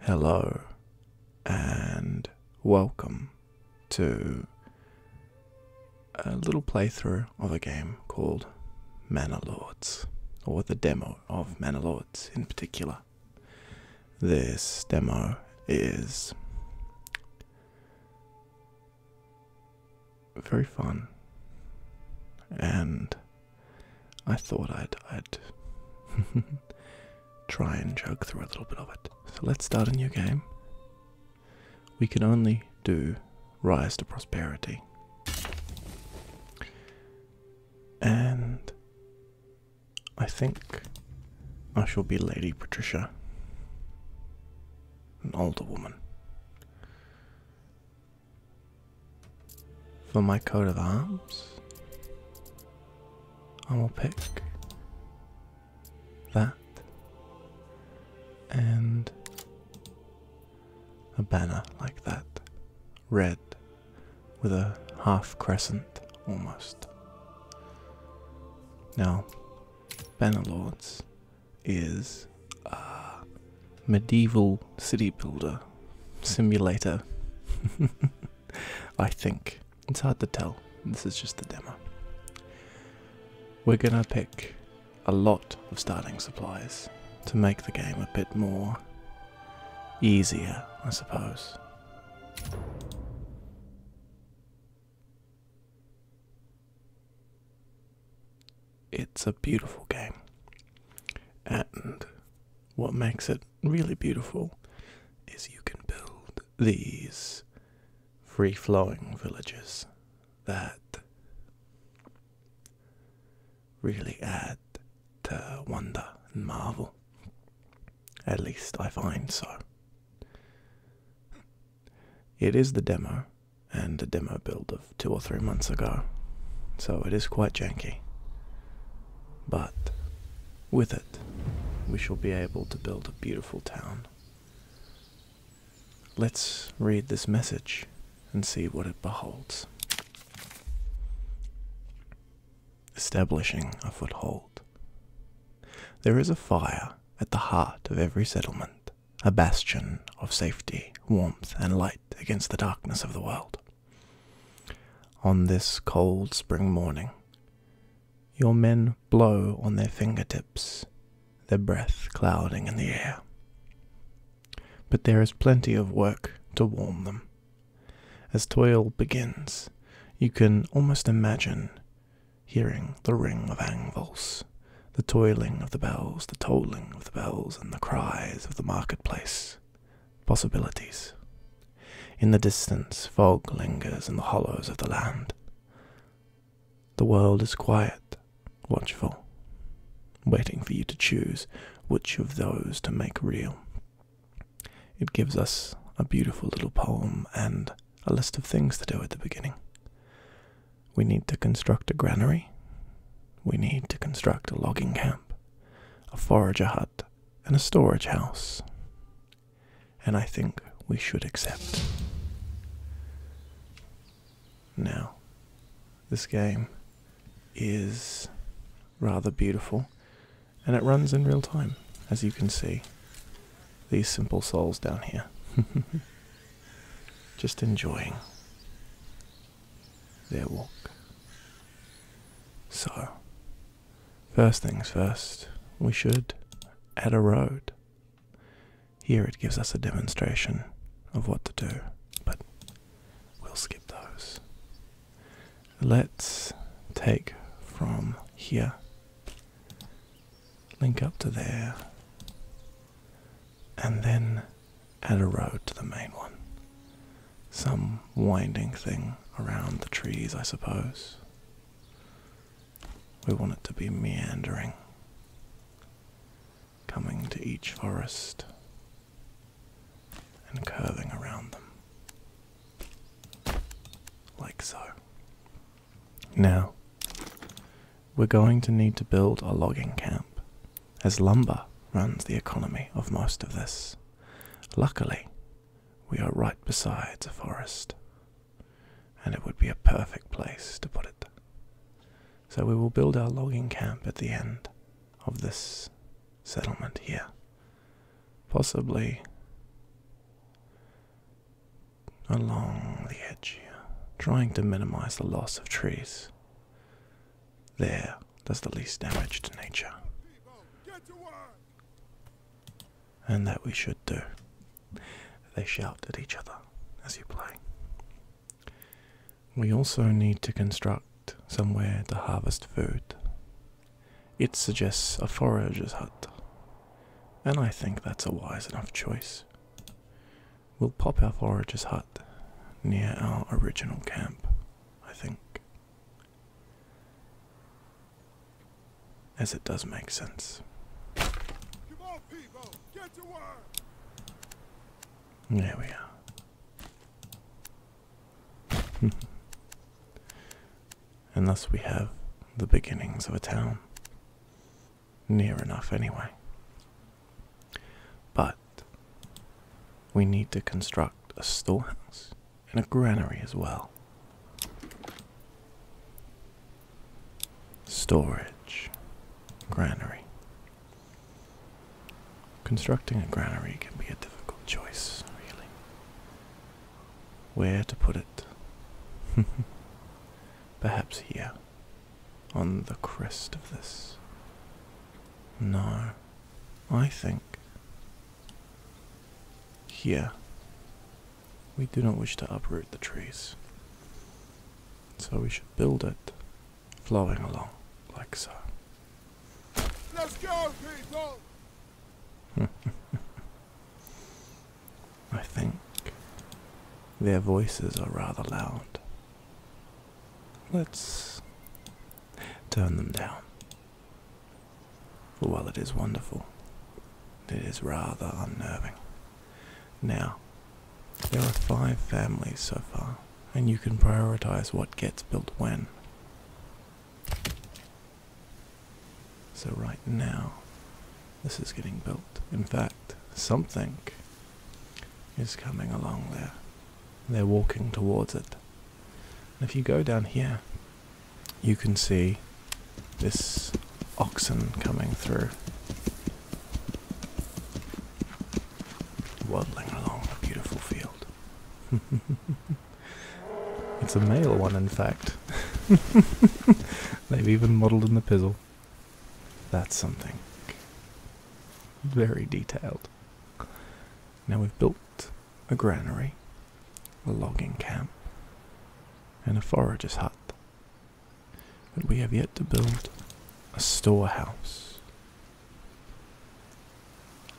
Hello and welcome to a little playthrough of a game called Mana Lords, or the demo of Mana Lords in particular. This demo is very fun, and I thought I'd try and jug through a little bit of it. So let's start a new game. We can only do Rise to Prosperity, and I think I shall be Lady Patricia, an older woman. For my coat of arms, I will pick that and a banner like that, red with a half crescent almost. Now, banner lords is a uh, medieval city builder simulator. I think it's hard to tell. This is just the demo. We're gonna pick a lot of starting supplies to make the game a bit more easier, I suppose. It's a beautiful game. And what makes it really beautiful is you can build these free flowing villages that really add to wonder and marvel. At least I find so. It is the demo, and a demo build of two or three months ago, so it is quite janky. But with it, we shall be able to build a beautiful town. Let's read this message and see what it beholds. Establishing a foothold. There is a fire at the heart of every settlement, a bastion of safety, warmth, and light against the darkness of the world. On this cold spring morning, your men blow on their finger tips, their breath clouding in the air. But there is plenty of work to warm them. As toil begins, you can almost imagine hearing the ring of anvils the toiling of the bells, the tolling of the bells, and the cries of the marketplace. Possibilities. In the distance, fog lingers in the hollows of the land. The world is quiet, watchful, waiting for you to choose which of those to make real. It gives us a beautiful little poem and a list of things to do at the beginning. We need to construct a granary. We need to construct a logging camp, a forager hut, and a storage house. And I think we should accept. Now, this game is rather beautiful and it runs in real time, as you can see. These simple souls down here. just enjoying their walk. So, first things first, we should add a road. Here it gives us a demonstration of what to do, but we'll skip those. Let's take from here, link up to there, and then add a road to the main one. Some winding thing around the trees, I suppose. We want it to be meandering, coming to each forest and curving around them. Like so. Now, we're going to need to build a logging camp, as lumber runs the economy of most of this. Luckily, we are right beside a forest, and it would be a perfect place to put it. So we will build our logging camp at the end of this settlement here. Possibly along the edge trying to minimize the loss of trees there, does the least damage to nature. And that we should do. They shout at each other as you play. We also need to construct somewhere to harvest food. It suggests a forager's hut, and I think that's a wise enough choice. We'll pop our foragers' hut near our original camp, I think. As it does make sense. There we are. and thus we have the beginnings of a town. Near enough, anyway. But we need to construct a storehouse and a granary as well. Storage, granary. Constructing a granary can be a difficult choice, really. Where to put it? Perhaps here on the crest of this. No, I think here we do not wish to uproot the trees, so we should build it flowing along like so. Let's go, people! I think their voices are rather loud. Let's turn them down. For while it is wonderful, it is rather unnerving. Now, there are five families so far, and you can prioritize what gets built when. So, right now, this is getting built. In fact, something is coming along there. They're walking towards it. And if you go down here, you can see this oxen coming through, waddling along the beautiful field. it's a male one, in fact. They've even modelled in the pizzle that's something very detailed. Now we've built a granary, a logging camp, and a forager's hut. But we have yet to build a storehouse.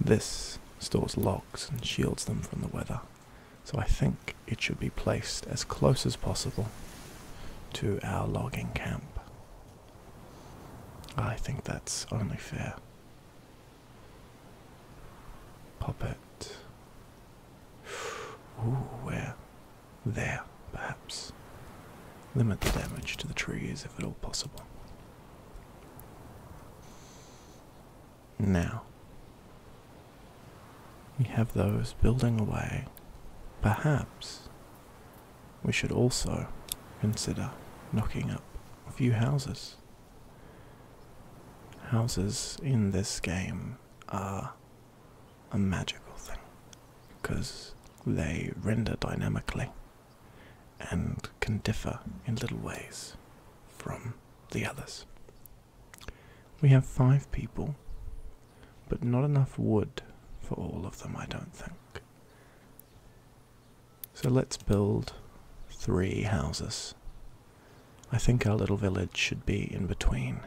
This stores logs and shields them from the weather, so I think it should be placed as close as possible to our logging camp. I think that's only fair. Puppet. Ooh, where? There, perhaps. Limit the damage to the trees if at all possible. Now, we have those building away, perhaps we should also consider knocking up a few houses. Houses in this game are a magical thing because they render dynamically and can differ in little ways from the others. We have five people, but not enough wood for all of them, I don't think. So let's build three houses. I think our little village should be in between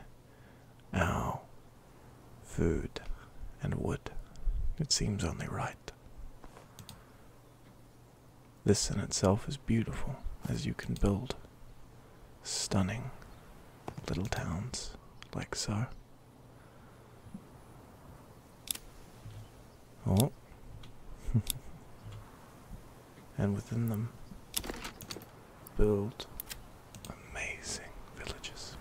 our food and wood. It seems only right. This in itself is beautiful, as you can build stunning little towns like so. Oh. and within them build amazing villages.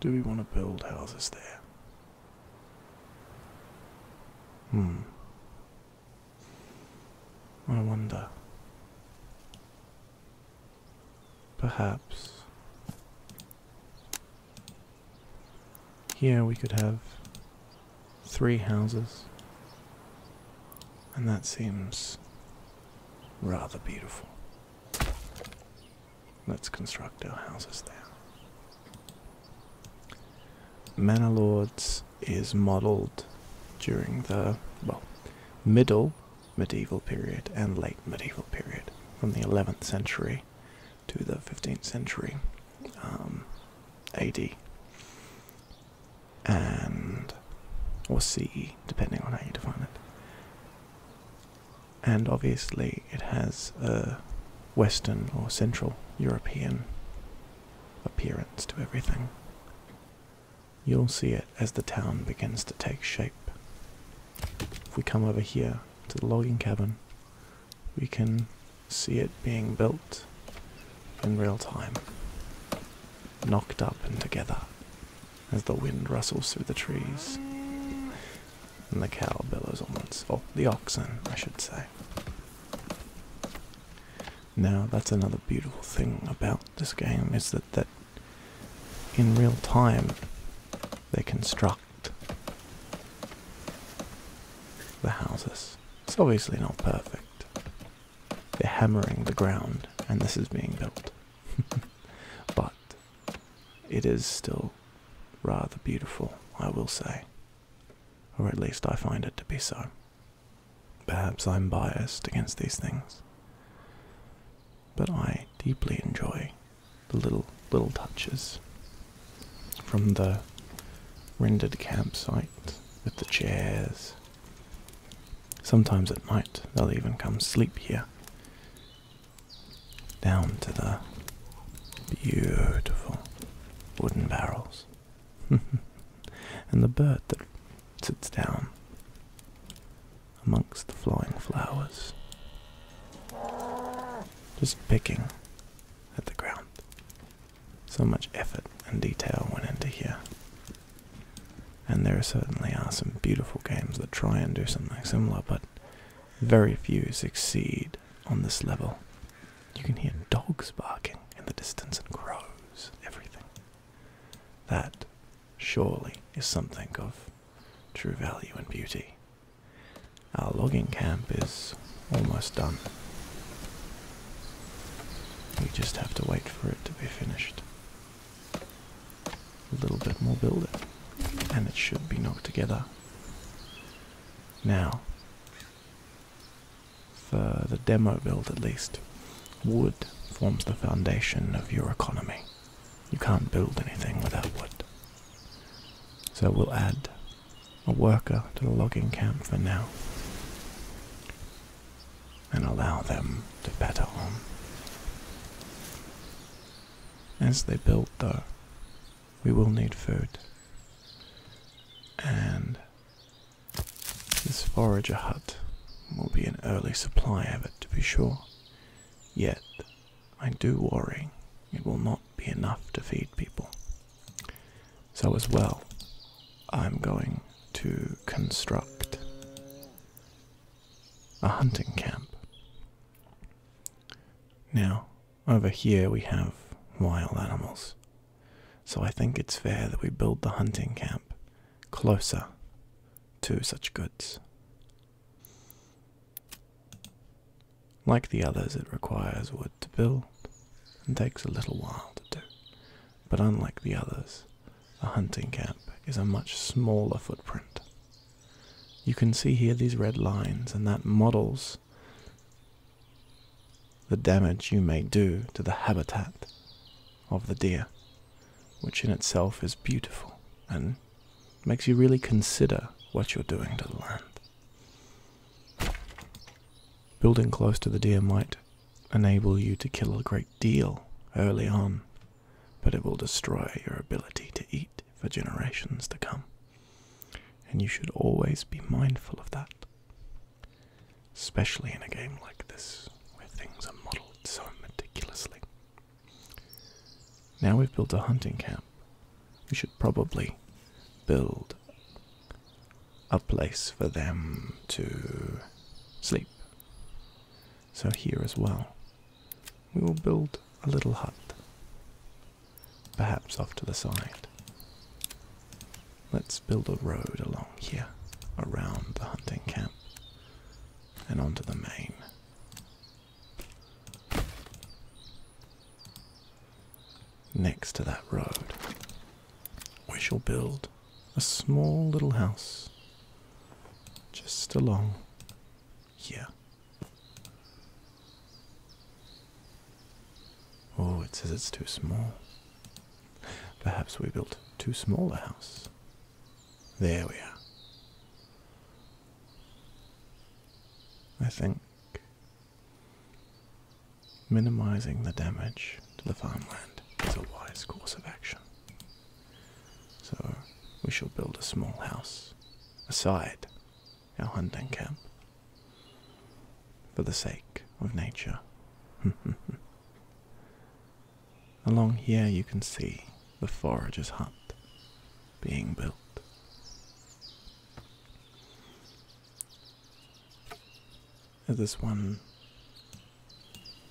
Do we want to build houses there? Hmm. I wonder. Perhaps. Here we could have three houses. And that seems rather beautiful. Let's construct our houses there. Manor Lords is modelled during the, well, middle medieval period and late medieval period, from the 11th century to the 15th century um, AD. And, or CE, depending on how you define it and obviously it has a Western or Central European appearance to everything. You'll see it as the town begins to take shape. If we come over here to the logging cabin, we can see it being built in real time, knocked up and together as the wind rustles through the trees. And the cow bellows on once, or the oxen, I should say. Now, that's another beautiful thing about this game is that that in real time they construct the houses. It's obviously not perfect. They're hammering the ground, and this is being built. but it is still rather beautiful, I will say, or at least I find it to be so. Perhaps I'm biased against these things, but I deeply enjoy the little little touches from the rendered campsite with the chairs. Sometimes at night they'll even come sleep here down to the beautiful wooden barrels. and the bird that sits down amongst the flying flowers, just picking at the ground. So much effort and detail went into here. And there certainly are some beautiful games that try and do something similar, but very few succeed on this level. You can hear dogs barking in the distance and crows, everything. That surely is something of true value and beauty. Our logging camp is almost done. We just have to wait for it to be finished. A little bit more building, and it should be knocked together. Now, for the demo build at least, wood forms the foundation of your economy. You can't build anything without wood. So we'll add a worker to the logging camp for now and allow them to batter on. As they build, though, we will need food. And this forager hut will be an early supply of it, to be sure. Yet, I do worry it will not be enough to feed people. So, as well, I'm going to construct a hunting camp. Now, over here we have wild animals. So I think it's fair that we build the hunting camp closer to such goods. Like the others, it requires wood to build and takes a little while to do. But unlike the others, the hunting camp is a much smaller footprint you can see here these red lines, and that models the damage you may do to the habitat of the deer, which in itself is beautiful and makes you really consider what you're doing to the land. Building close to the deer might enable you to kill a great deal early on, but it will destroy your ability to eat for generations to come. And you should always be mindful of that, especially in a game like this where things are modeled so meticulously. Now we've built a hunting camp, we should probably build a place for them to sleep. So, here as well, we will build a little hut perhaps off to the side. Let's build a road along here, around the hunting camp, and onto the main. Next to that road, we shall build a small little house just along here. Oh, it says it's too small. Perhaps we built too small a house. There we are. I think minimizing the damage to the farmland is a wise course of action. So we shall build a small house aside our hunting camp for the sake of nature. Along here you can see the forager's hut being built. As this one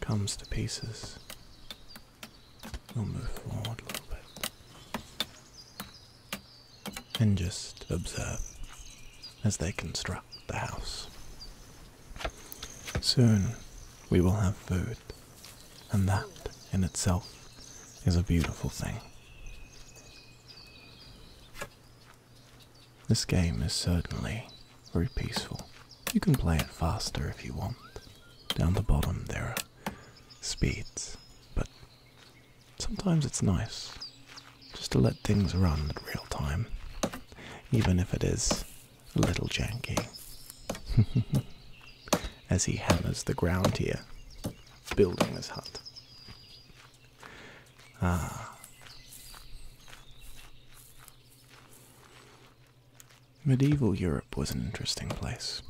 comes to pieces, we'll move forward a little bit and just observe as they construct the house. Soon we will have food, and that in itself is a beautiful thing. This game is certainly very peaceful. You can play it faster if you want. Down the bottom there are speeds, but Sometimes it's nice just to let things run at real time, even if it is a little janky. As he hammers the ground here, building this hut. Ah. Medieval Europe was an interesting place.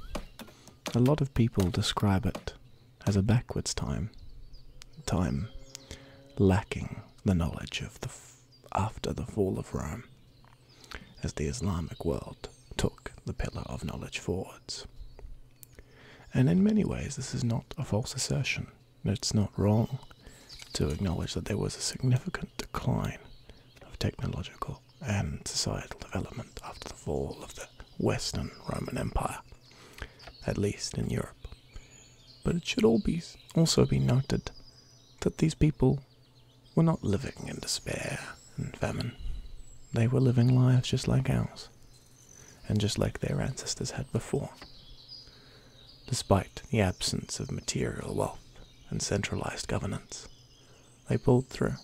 A lot of people describe it as a backwards time, time lacking the knowledge of the after the fall of Rome, as the Islamic world took the pillar of knowledge forwards. And in many ways, this is not a false assertion. It's not wrong to acknowledge that there was a significant decline of technological and societal development after the fall of the Western Roman Empire at least in Europe. But it should all be also be noted that these people were not living in despair and famine. They were living lives just like ours, and just like their ancestors had before. Despite the absence of material wealth and centralized governance, they pulled through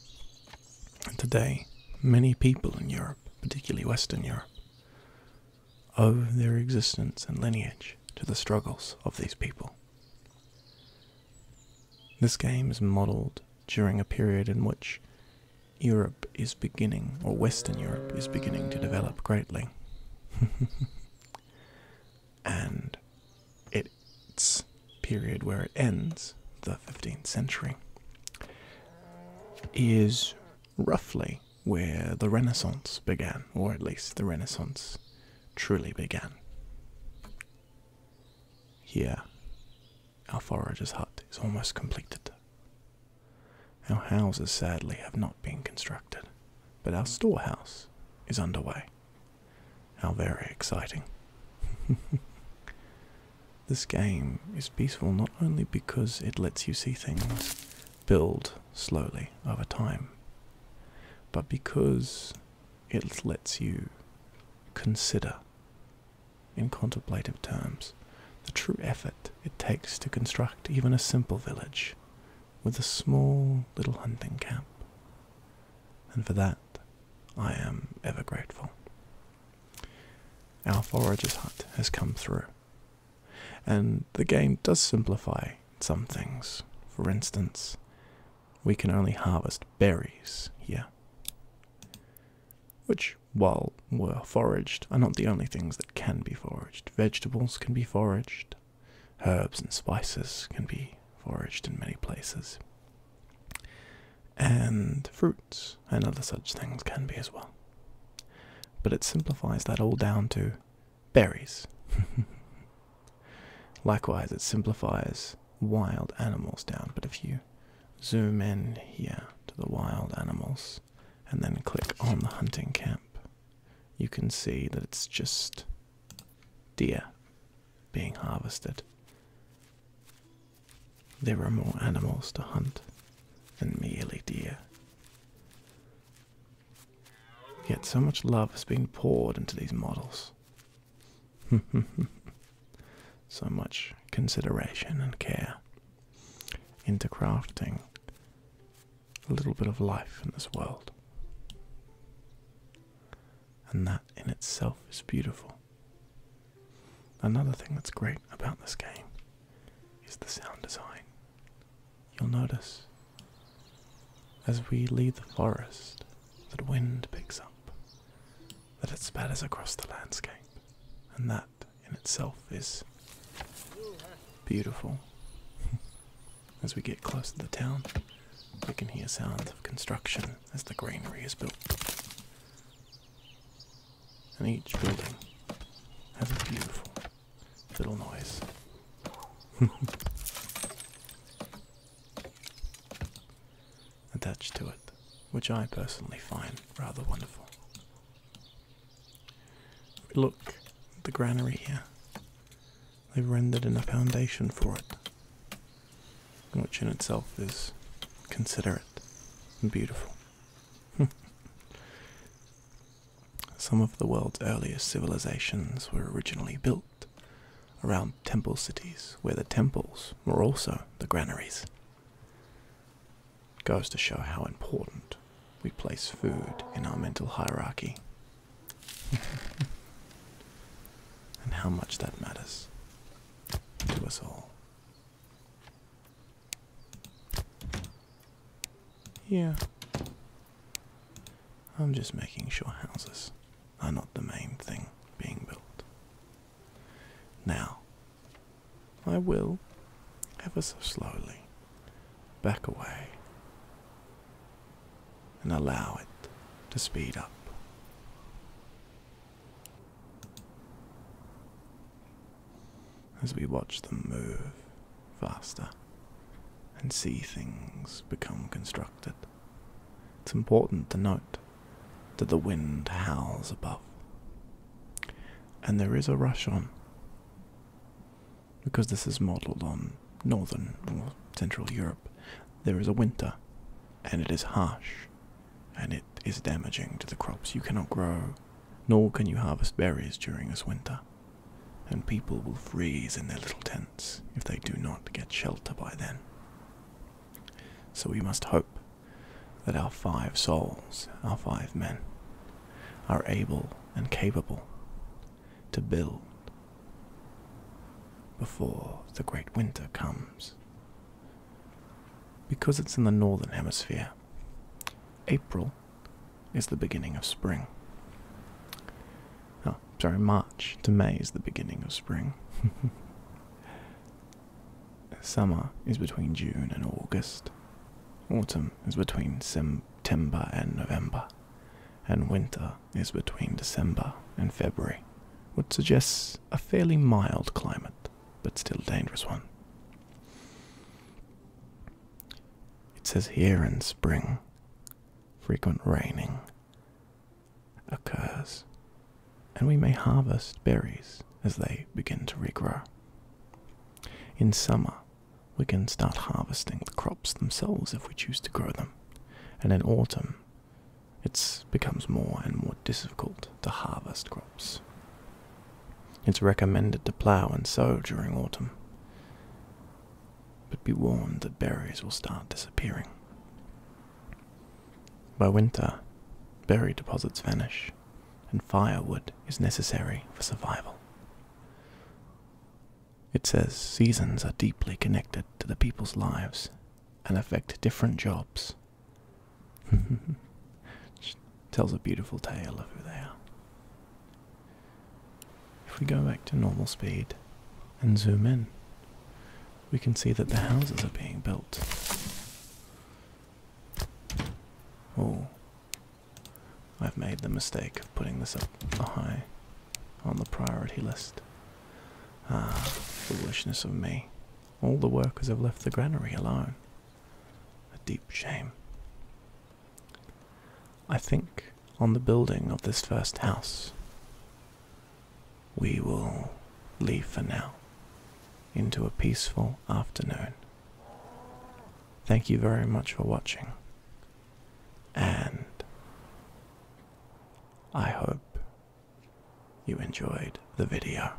and today, many people in Europe, particularly Western Europe, owe their existence and lineage to the struggles of these people. This game is modelled during a period in which Europe is beginning, or Western Europe is beginning to develop greatly. and it's period where it ends, the 15th century, is roughly where the Renaissance began, or at least the Renaissance truly began. Here, our forager's hut is almost completed. Our houses sadly have not been constructed, but our storehouse is underway. How very exciting! This game is peaceful not only because it lets you see things build slowly over time, but because it lets you consider, in contemplative terms, the true effort it takes to construct even a simple village with a small little hunting camp. And for that, I am ever grateful. Our forager's hunt has come through, and the game does simplify some things. For instance, we can only harvest berries here, which, while were foraged, are not the only things that can be foraged. Vegetables can be foraged, herbs and spices can be foraged in many places. And fruit and other such things can be as well. But it simplifies that all down to berries. Likewise, it simplifies wild animals down, but if you zoom in here to the wild animals and then click on the hunting camp, you can see that it's just deer being harvested. There are more animals to hunt than merely deer. Yet so much love has been poured into these models. so much consideration and care into crafting a little bit of life in this world. And that in itself is beautiful. Another thing that's great about this game is the sound design. You'll notice as we leave the forest that wind picks up, that it spatters across the landscape, and that in itself is beautiful. as we get close to the town, we can hear sounds of construction as the granary is built and each building has a beautiful little noise. attached to it, which I personally find rather wonderful. look the granary here. They've rendered in a foundation for it, which in itself is considerate and beautiful. Hmm. Some of the world's earliest civilizations were originally built around temple cities, where the temples were also the granaries. It goes to show how important we place food in our mental hierarchy and how much that matters to us all. Yeah. I'm just making sure houses are not the main thing being built. Now, I will, ever so slowly, back away and allow it to speed up. As we watch them move faster and see things become constructed, it's important to note that the wind howls above. And there is a rush on, because this is modelled on northern or central Europe. There is a winter, and it is harsh and it is damaging to the crops. You cannot grow, nor can you harvest berries during this winter, and people will freeze in their little tents if they do not get shelter by then. So we must hope that our five souls, our five men, are able and capable to build before the great winter comes. Because it's in the northern hemisphere, April is the beginning of spring. Oh, sorry, March to May is the beginning of spring. Summer is between June and August. Autumn is between September and November. And winter is between December and February, which suggests a fairly mild climate, but still dangerous one. It says here in spring, frequent raining occurs, and we may harvest berries as they begin to regrow. In summer, we can start harvesting the crops themselves if we choose to grow them, and in autumn, it becomes more and more difficult to harvest crops. It's recommended to plough and sow during autumn, but be warned that berries will start disappearing. By winter, berry deposits vanish, and firewood is necessary for survival. It says seasons are deeply connected to the people's lives and affect different jobs, which tells a beautiful tale of who they are. If we go back to normal speed and zoom in, we can see that the houses are being built. Oh, I've made the mistake of putting this up high on the priority list. Ah, foolishness of me. All the workers have left the granary alone. A deep shame. I think on the building of this first house we will leave for now into a peaceful afternoon. Thank you very much for watching, and I hope you enjoyed the video.